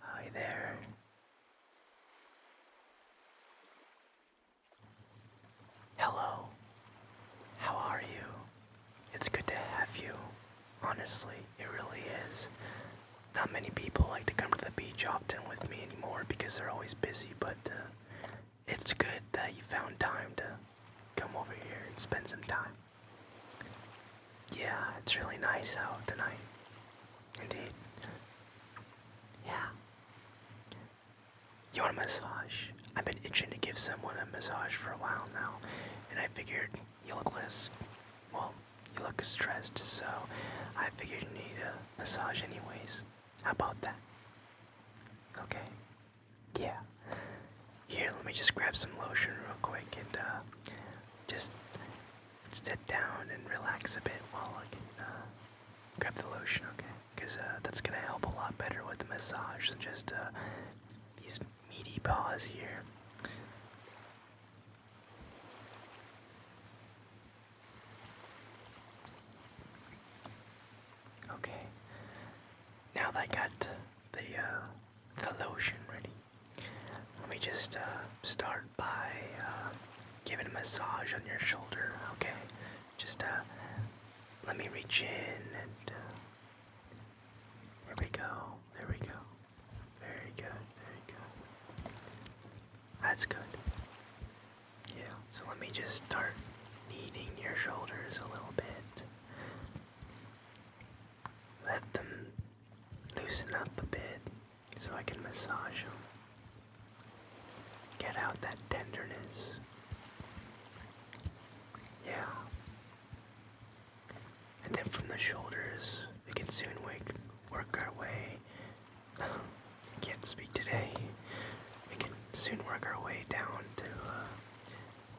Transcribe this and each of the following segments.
Hi there. Hello. How are you? It's good to have you. Honestly, it really is. Not many people like to come to the beach often with me anymore because they're always busy, but uh, it's good that you found time to come over here and spend some time. Yeah, it's really nice out tonight. Indeed. Yeah. You want a massage? I've been itching to give someone a massage for a while now, and I figured you look less. Well, you look stressed, so I figured you need a massage, anyways. How about that? Okay. Yeah. Here, let me just grab some lotion real quick and uh, just sit down and relax a bit while I uh, grab the lotion, okay? Uh, that's gonna help a lot better with the massage than just uh, these meaty paws here. Okay, now that I got the the lotion ready, let me just start by Give it a massage on your shoulder, okay? Just uh, let me reach in and uh, there we go, there we go. Very good, very good. That's good. Yeah, so let me just start kneading your shoulders a little bit. Let them loosen up a bit so I can massage them. Get out that tenderness. Yeah. And then from the shoulders, we can soon work our way. can't speak today. We can soon work our way down to uh,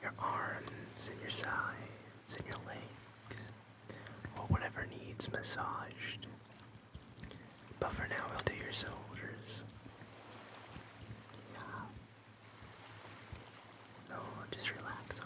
your arms and your sides and your legs, or whatever needs massaged. But for now, we'll do your soldiers. Yeah. Oh, just relax, okay?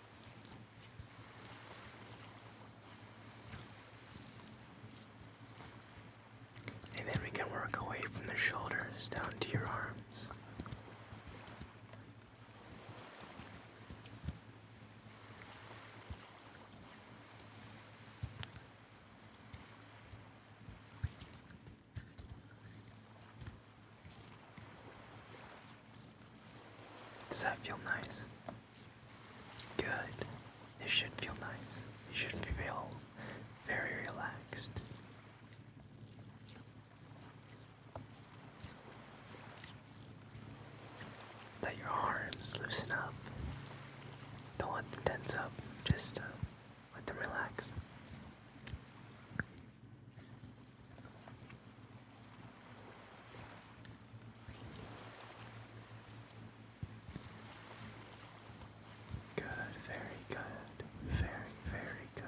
And then we can work away from the shoulders down to your arms. Does that feel nice? Good. It should feel nice. You should feel very relaxed. Let your arms loosen up. Don't let them tense up, just uh, let them relax. Good, very good, very, very good.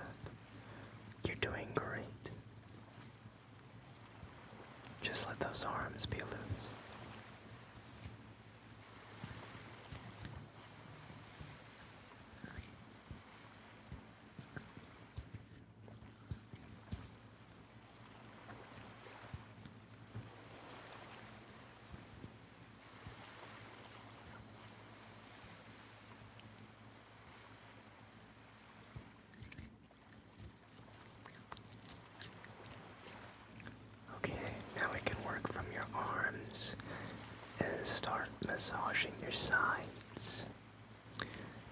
You're doing great. Just let those arms be loose. Okay, now we can work from your arms and start massaging your sides.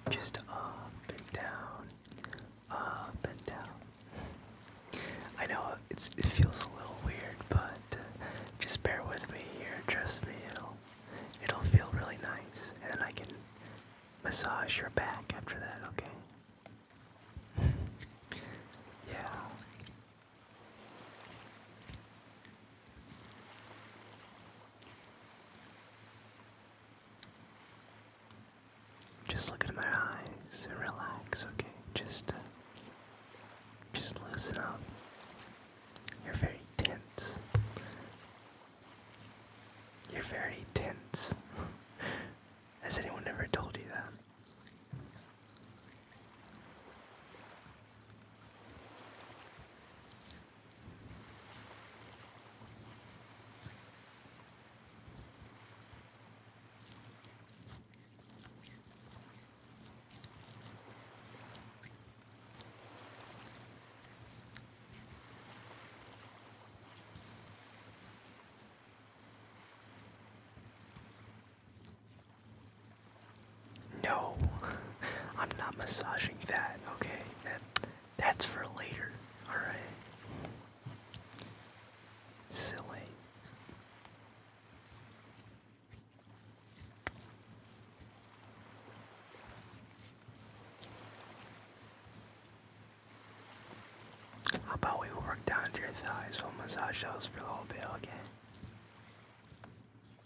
Just up and down, up and down. I know it's, it feels a little weird, but just bear with me here. Trust me, it'll it'll feel really nice, and then I can massage your back after that. Okay? yeah. Just look at my eyes and relax, okay? Just, uh, just loosen up. You're very tense. You're very tense. Has anyone ever told you that? No, I'm not massaging that, okay? That's for later. Alright. Silly. How about we work down to your thighs? We'll massage those for a little bit, okay?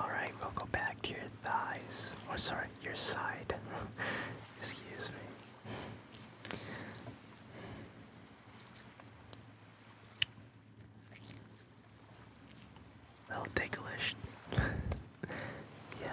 All right, we'll go back to your thighs, or sorry, your side. Excuse me. A little yeah.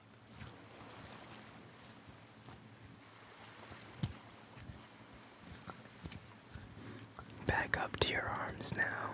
Back up to your arms now.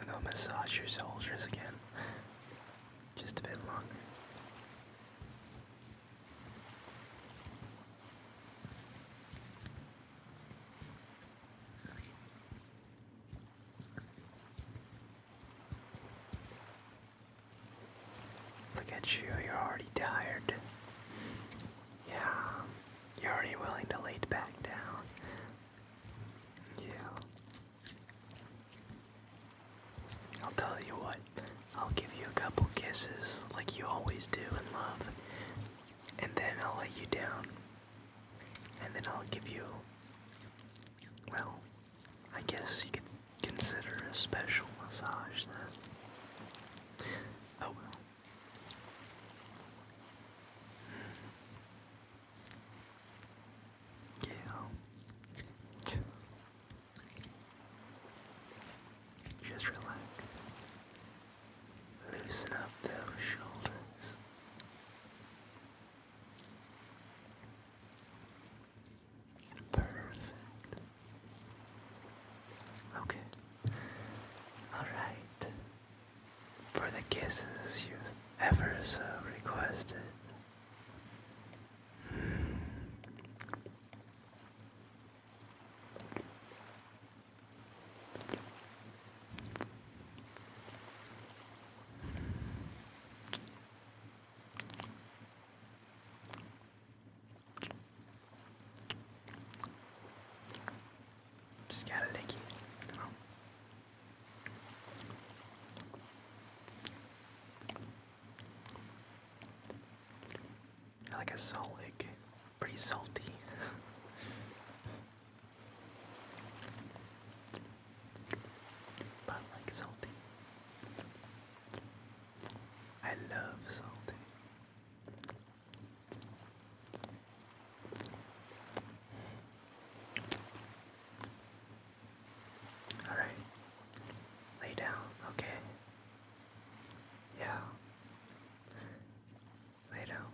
And I'll massage your shoulders again. Just a bit longer. Look at you, you're already tired. Yeah, you're already willing to lay back down. Yeah. I'll tell you what, I'll give you a couple kisses like you always do in love, and then I'll let you down. And then I'll give you, well, I guess you could consider a special massage then. Oh hmm. Yeah. Just relax. Loosen up those shoulders. Perfect. Okay. Alright. For the kisses you've ever so requested. Just gotta lick I like a salt lick. Pretty salty. but like salty. I love salty. All right. Lay down, okay? Yeah. Lay down.